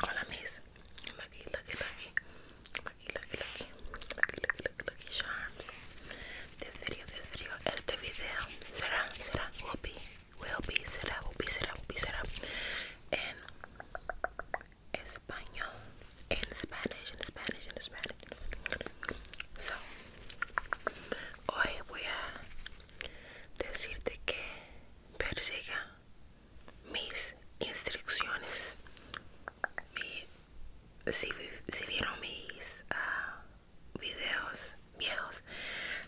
Hola mis, lucky, lucky, lucky, lucky, lucky, lucky, charms. This video, this video, este video será, será, will be, será, will be, será, will be, será en español, en Spanish, en Spanish, en Spanish. So, hoy voy a decirte que persiga mis instrucciones. si, vieron mis ah, videos viejos,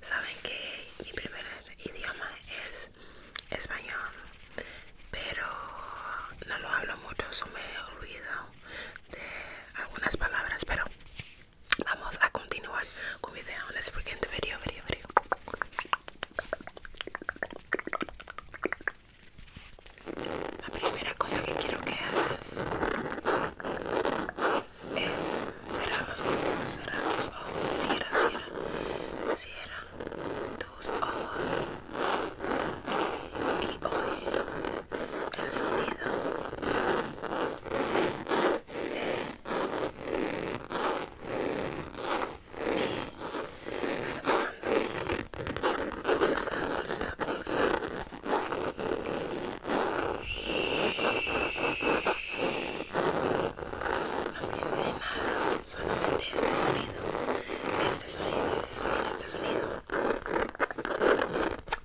saben que mi primer idioma es español, pero no lo hablo mucho, me olvido de algunas palabras, pero Vamos a continuar con video. Let's begin the video, video, video. La primera cosa que quiero que hagas es cerrar los ojos, cerrar los ojos, cierra, cierra, cierra tus ojos y oye el sonido no piense en nada, solamente este sonido, este sonido, este sonido, este sonido.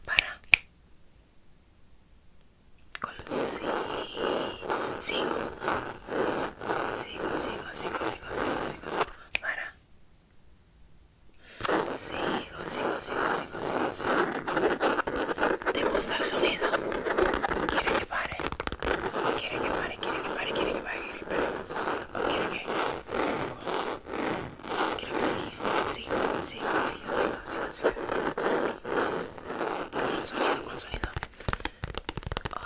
Para. Sigo, sigo, sigo, sigo, sigo, para. Sigo, sigo, sigo, sigo, ¿Te gusta el sonido? Quiere que pare. Quiere que pare, quiere que pare, quiere que pare, quiere que quiere que. Quiero que siga, con sonido, sonido.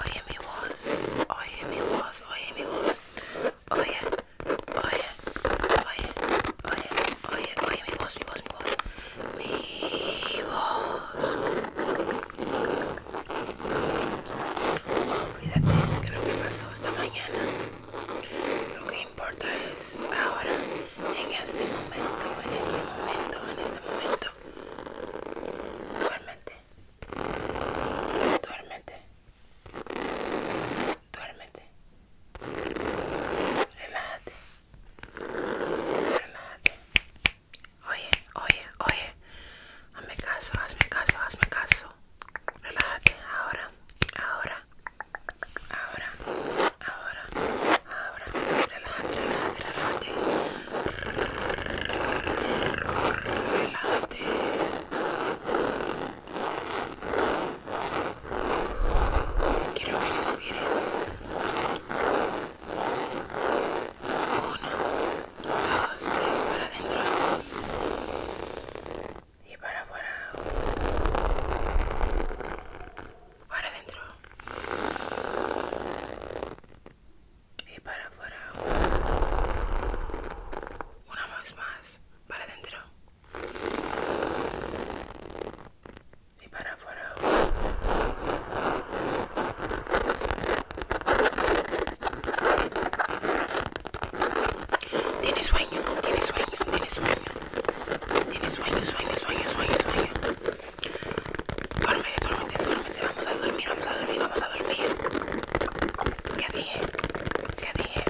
Oye mi voz, oye mi voz, oye mi voz. Oye, oye, oye, oye, oye, mi voz, mi voz, mi voz. Mi voz. Olvídate oh, de lo que pasó esta mañana importa es ahora, en este momento, en este momento, en este momento. Duérmete. Duérmete. Duérmete. Relájate. Relájate. Oye, oye, oye. Hazme caso, hazme caso, hazme caso. Relájate. Ahora, ahora. Ahora, ahora, ahora, relájate, relájate, relájate. Quiero que respires. Uno, dos, tres, para adentro y para afuera para dentro y para afuera una más más para dentro y para afuera tiene sueño tiene sueño tiene sueño tiene sueño, sueño, sueño, sueño, sueño. Duérmete, duérmete, duérmete. Vamos a dormir, vamos a dormir, vamos a dormir. ¿Qué dije? ¿Qué dije?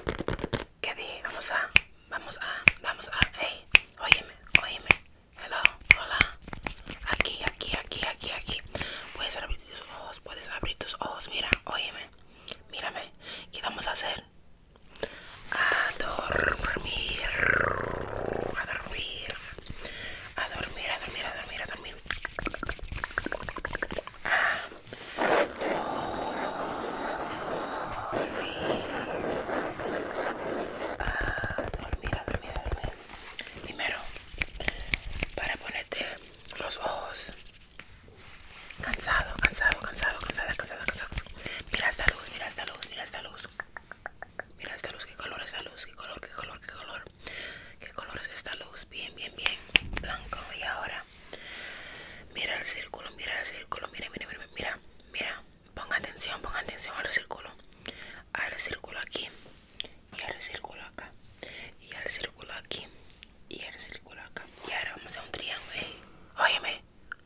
¿Qué dije? Vamos a, vamos a, vamos a. Hey, óyeme, óyeme. Hello, hola. Aquí, aquí, aquí, aquí, aquí. Puedes abrir tus ojos, puedes abrir tus ojos. Mira, óyeme. Mírame. ¿Qué vamos a hacer? A dormir, a dormir, a dormir, a dormir, a dormir, a dormir. A dormir, a dormir, a dormir, Primero, para ponerte los ojos. Cansado, cansado, cansado, cansado cansado. Mira esta luz, mira esta luz, mira esta luz. Mira esta luz, qué color es esta luz, qué color, qué color, qué color. ¿Qué color es esta luz? Bien, bien, bien. Blanco. Y ahora, mira el círculo, mira el círculo, mira, mira, mira, mira. ponga atención, ponga atención al círculo. Al círculo aquí. Y al círculo acá. Y al círculo aquí. Y al círculo acá. Y ahora vamos a un triángulo. ¿eh? Óyeme,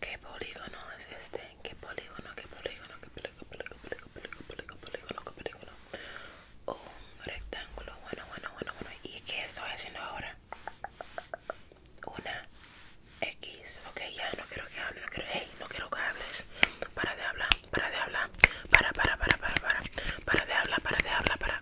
¿Qué polígono es este? ¿Qué polígono? ¿Qué polígono? ¿Qué polígono? ¿Polígono? ¿Polígono? ¿Polígono? ¿Polígono? ¿Qué polígono? Un rectángulo. Bueno, bueno, bueno, bueno. ¿Y qué estoy haciendo ahora? Una X. Ok, ya no quiero que hables, No quiero. Hey, no quiero que hables. Para de hablar. Para de hablar. Para, para, para, para, para. Para de hablar. Para de hablar. Para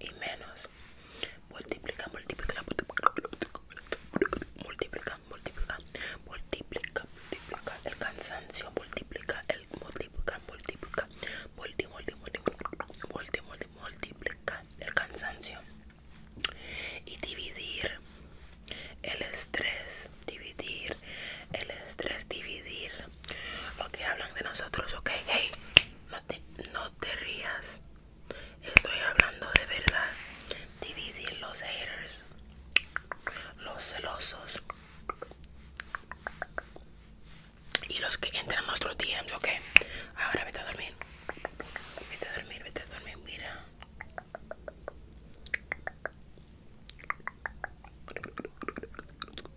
y menos multiplica multiplica multiplica multiplica multiplica multiplica multiplica el cansancio multiplica el multiplica multiplica multi multi multiplica el cansancio y dividir el estrés dividir el estrés dividir lo hablan de nosotros ok no te, no te rías. Estoy hablando de verdad. Dividir los haters, los celosos y los que entran a nuestros DMs, ok. Ahora vete a dormir. Vete a dormir, vete a dormir, mira.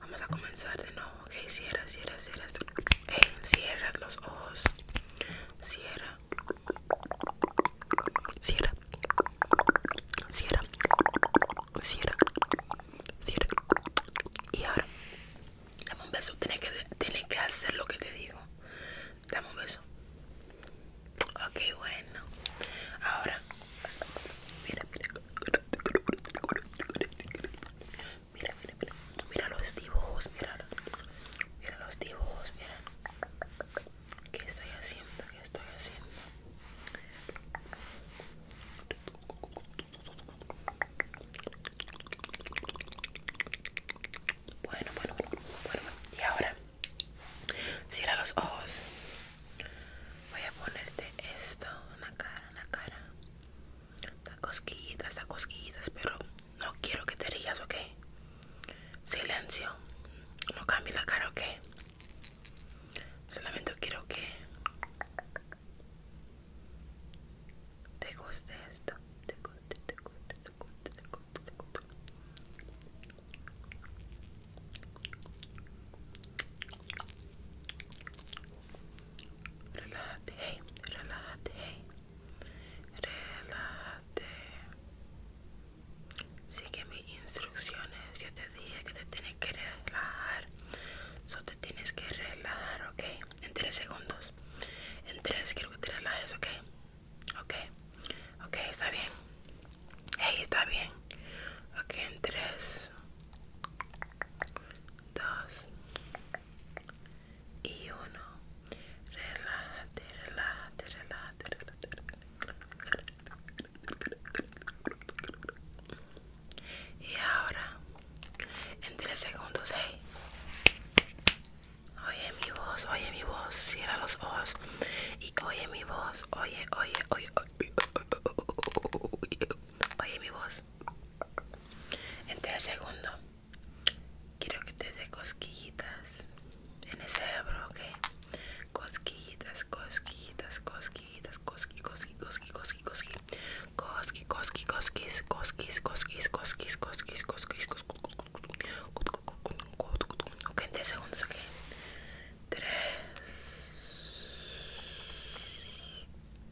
Vamos a comenzar de nuevo, ok. Cierra, cierra, cierra. cierra los ojos. Cierra. Cierra. Cierra. Cierra. Cierra. Y ahora. Dame un beso. Tienes que, tienes que hacer lo que te digo. Dame un beso. Ok, bueno. Ahora. Mira, mira. Mira, mira, mira. Mira los dibujos, mira. Mira los dibujos, mira. ¿Qué estoy haciendo? ¿Qué estoy haciendo? Bueno, bueno, bueno, bueno, bueno. Y ahora, cierra los ojos. Voy a ponerte esto una cara, en la cara. Da cosquillitas, cosquillitas, pero no quiero que te rías, ¿ok? Silencio. No cambie la cara, ¿ok? Solamente quiero que te guste esto. Te guste, te guste, te guste, te guste, te guste relájate, hey, relájate, hey, relájate. Sigue mis instrucciones. Yo te dije que te tienes que relajar. Solo te tienes que relajar, ok. En tres segundos. En tres, quiero que te relajes, ok. Ok, ok, está bien. Hey, está bien. Ok, en tres, dos y uno. Relájate, relájate, relájate, relájate. Y ahora, en tres segundos, hey. Oye mi voz, oye mi voz, cierra los ojos y oye mi voz, oye, oye, oye, oye mi voz. En segundo, quiero que te dé cosquillitas en el cerebro, ¿ok? Cosquillitas, cosquillitas, cosquillitas, cosqui, cosqui, cosqui, cosqui, cosqui, cosquis, cosquis, cosquis, cosquis, cosquis, cosquis, Ok, en segundos, ok. 3,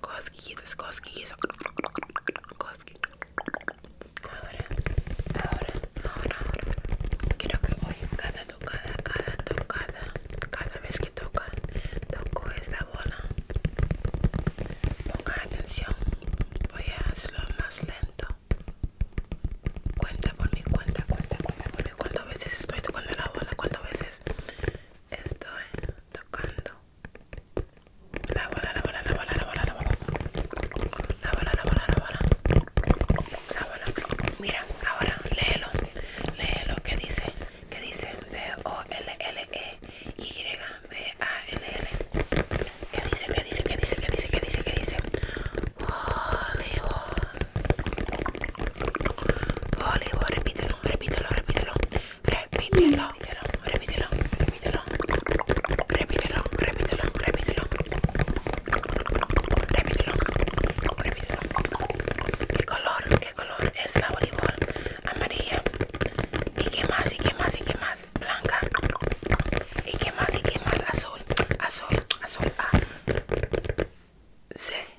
cosquillas cosquillas cosquillas Ahora, ahora, ahora. Quiero que hoy cada tocada, cada tocada, cada vez que toca, toco esta bola. Ponga atención. Voy a hacerlo más lento. Cuenta por mi cuenta, cuenta, cuenta por mi cuenta. ¿Cuántas veces estoy tocando la bola? ¿Cuántas veces? estoy tocando la bola, la bola, la bola, la bola, la bola, la bola, la bola, la bola, Mira, ahora léelo, léelo ¿qué dice, ¿Qué dice V O L L E Y B A L L. ¿Qué dice? ¿Qué dice? ¿Qué dice? ¿Qué dice? ¿Qué dice? ¿Qué dice? Voleibol. Voleibol. Repite repítelo, repítelo, repítelo, repítelo, repítelo, repítelo, repítelo, repítelo, repítelo, repítelo, repítelo. ¿Qué color, qué color es la voleibol? Amarilla. ¿Y qué más? ¿Y qué más? ¿Y qué más? Blanca. ¿Y qué más? ¿Y qué más? Azul, azul, azul. A. C.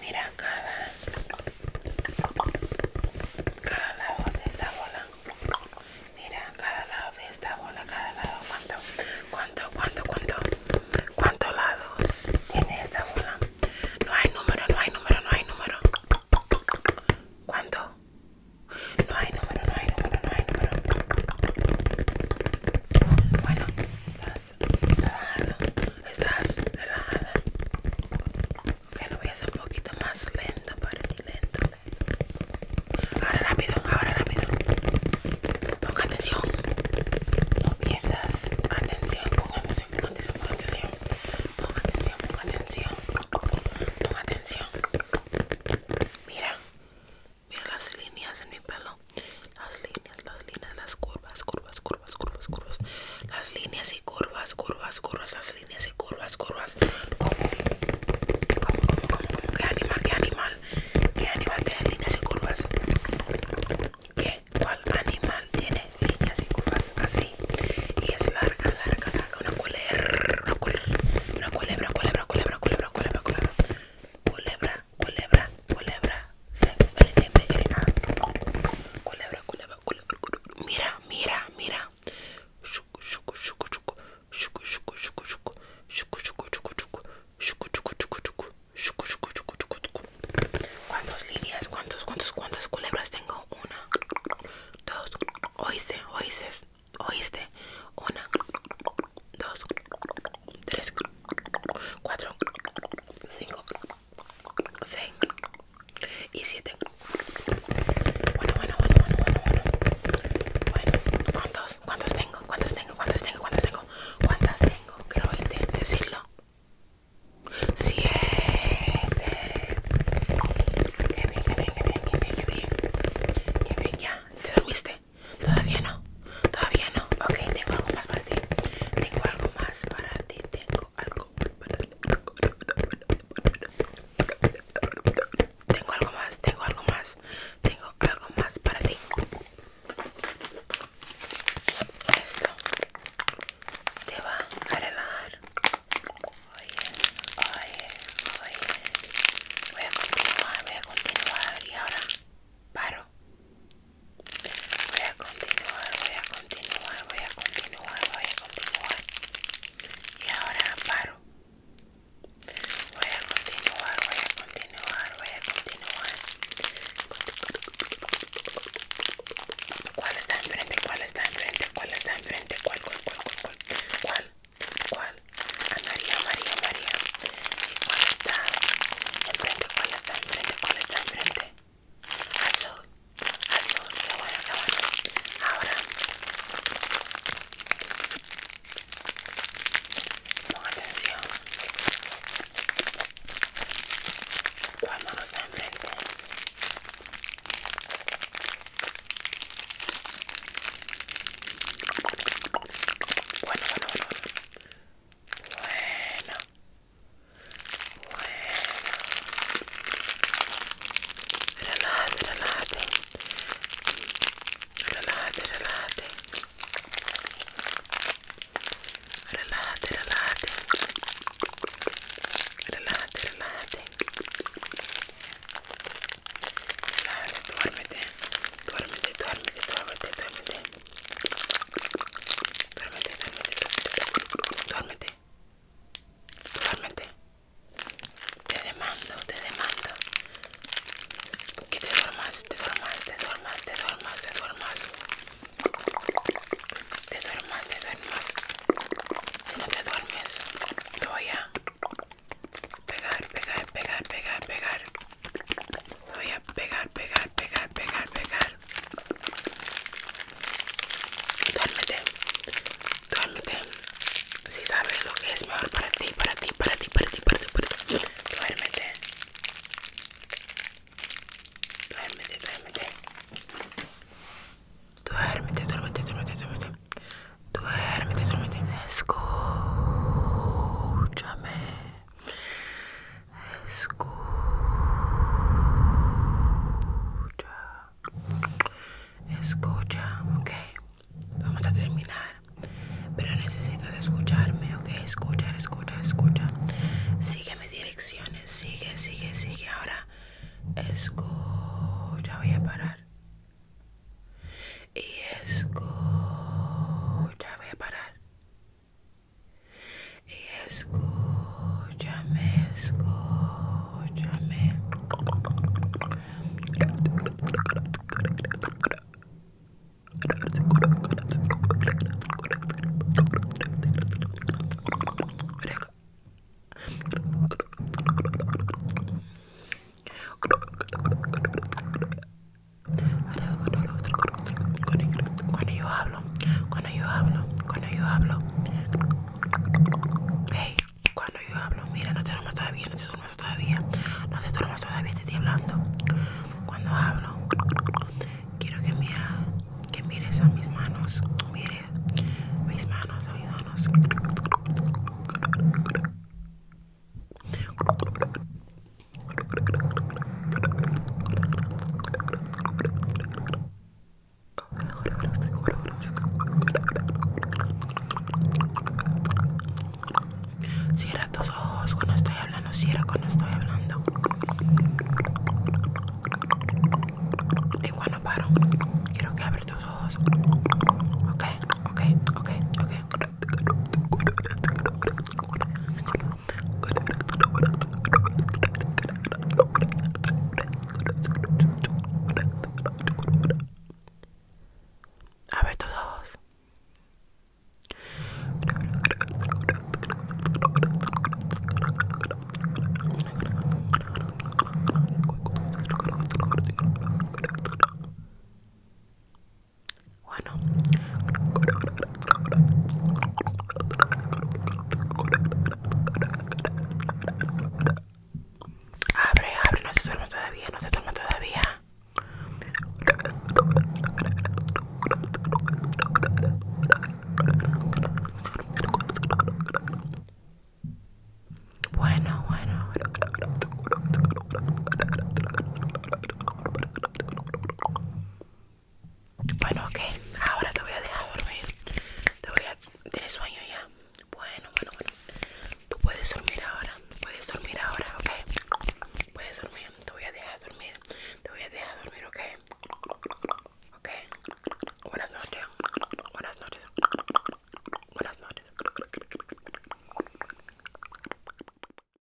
Mira cada, cada lado de esta bola. Mira cada lado de esta bola, cada lado. ¿Cuánto, cuánto, cuánto, cuánto? ¿Cuántos lados tiene esta bola? No hay número, no hay número, no hay número. ¿Cuánto? No hay número, no hay número, no hay número. Bueno, estás grabado estás? Relajada. Ok, lo voy a hacer un poquito más lento para ti, lento, lento. Ahora rápido, ahora rápido. Ponga atención. No pierdas atención. Ponga atención, ponga atención, ponga atención. Ponga atención, ponga atención. Ponga atención. Mira. Mira las líneas en mi pelo las líneas, las líneas, las curvas, curvas, curvas, curvas, curvas, las líneas y curvas, curvas, curvas, las líneas y curvas, curvas. qué animal, qué animal, qué animal tiene líneas y curvas. ¿Qué? ¿Cuál animal tiene líneas y curvas así? Y es larga, larga, larga, una culebra, una culebra, una culebra, culebra, culebra, culebra, culebra, culebra, culebra, culebra, culebra, se siempre, Culebra, culebra, culebra, culebra. Mira, mira, mira. Shuku, shuku, shuku, ¿Cuántas líneas? ¿Cuántos, cuántos, cuántas culebras tengo? Una, dos. Oíste, oíste, oíste. Una, dos. 3, 4, 5, 6 y 7. Bueno, bueno, bueno, bueno, bueno, bueno. ¿cuántos? ¿Cuántos tengo? ¿Cuántos tengo? ¿Cuántos tengo? ¿Cuántos tengo? ¿Cuántas tengo? Creo que te decirlo. Siete. Qué bien, qué bien, qué bien, qué bien, qué bien. Qué bien, ya. ¿Te dormiste? Todavía no. Todavía no. Ok, tengo algo más para ti. Tengo algo más para ti. Tengo algo para ti. Tengo algo más. Tengo algo más. Tengo algo más para ti. Esto te va a relajar. Oye, oye, oye. Voy a continuar, voy a continuar y ahora paro. Voy a continuar, voy a continuar, voy a continuar, voy a continuar. Y ahora paro. Voy a continuar, voy a continuar, voy a continuar. ¿Cuál está enfrente? ¿Cuál está enfrente? ¿Cuál está enfrente? ¿Cuál, cuál, cuál, cuál, cuál? cuál María, María, María. ¿Cuál está enfrente? ¿Cuál está enfrente? ¿Cuál está enfrente? Azul, azul, bueno, bueno. Ahora, atención, ¿cuál está Bueno, bueno, bueno. Bueno. Bueno. Duérmete, duérmete, duérmete, duérmete. Duérmete, duérmete, duérmete. Te demando, te demando. Que te duermas, te duermas, te duermas, te duermas, te duermas. Te duermas, te Si no te duermes, voy a pegar, pegar, pegar, pegar, pegar voy a pegar, pegar, pegar, pegar, pegar. Duérmete, duérmete. Si sabes lo que es mejor para ti, para ti, para ti, para ti, para ti, para ti. Duérmete. Duérmete, duérmete. Duérmete, duérmete, duérmete, duérmete. Duérmete, duérmete. Escúchame. Escucha. Escucha, ok. Vamos a terminar. Pero necesitas escucharme, ok. Escucha, escucha, escucha. Sigue mis direcciones. Sigue, sigue, sigue. Ahora. Escucha, voy a parar. Y escucha, voy a parar y escúchame, escúchame. Cuando yo hablo, cuando yo hablo, cuando yo hablo. Hey, cuando yo hablo, mira, no te duermas todavía, no te duermas todavía, no te todavía, estoy hablando. Cuando hablo, quiero que mira, que mires a mis manos, mire mis manos, mis manos. Cierra tus ojos cuando estoy hablando, cierra cuando estoy hablando. Y cuando paro, quiero que abres tus ojos. Ok, ok, ok, ok. A ver todos. Bueno. Abre, abre, no se duerme todavía, no se duerme todavía. Bueno, bueno. Bueno, ok, ahora te voy a dejar dormir. Te voy a... ¿Tienes sueño ya? Bueno, bueno, bueno. Tú puedes dormir ahora. Puedes dormir ahora, ok. Puedes dormir. Te voy a dejar dormir. Te voy a dejar dormir, ok. Ok. Buenas noches. Buenas noches. Buenas noches.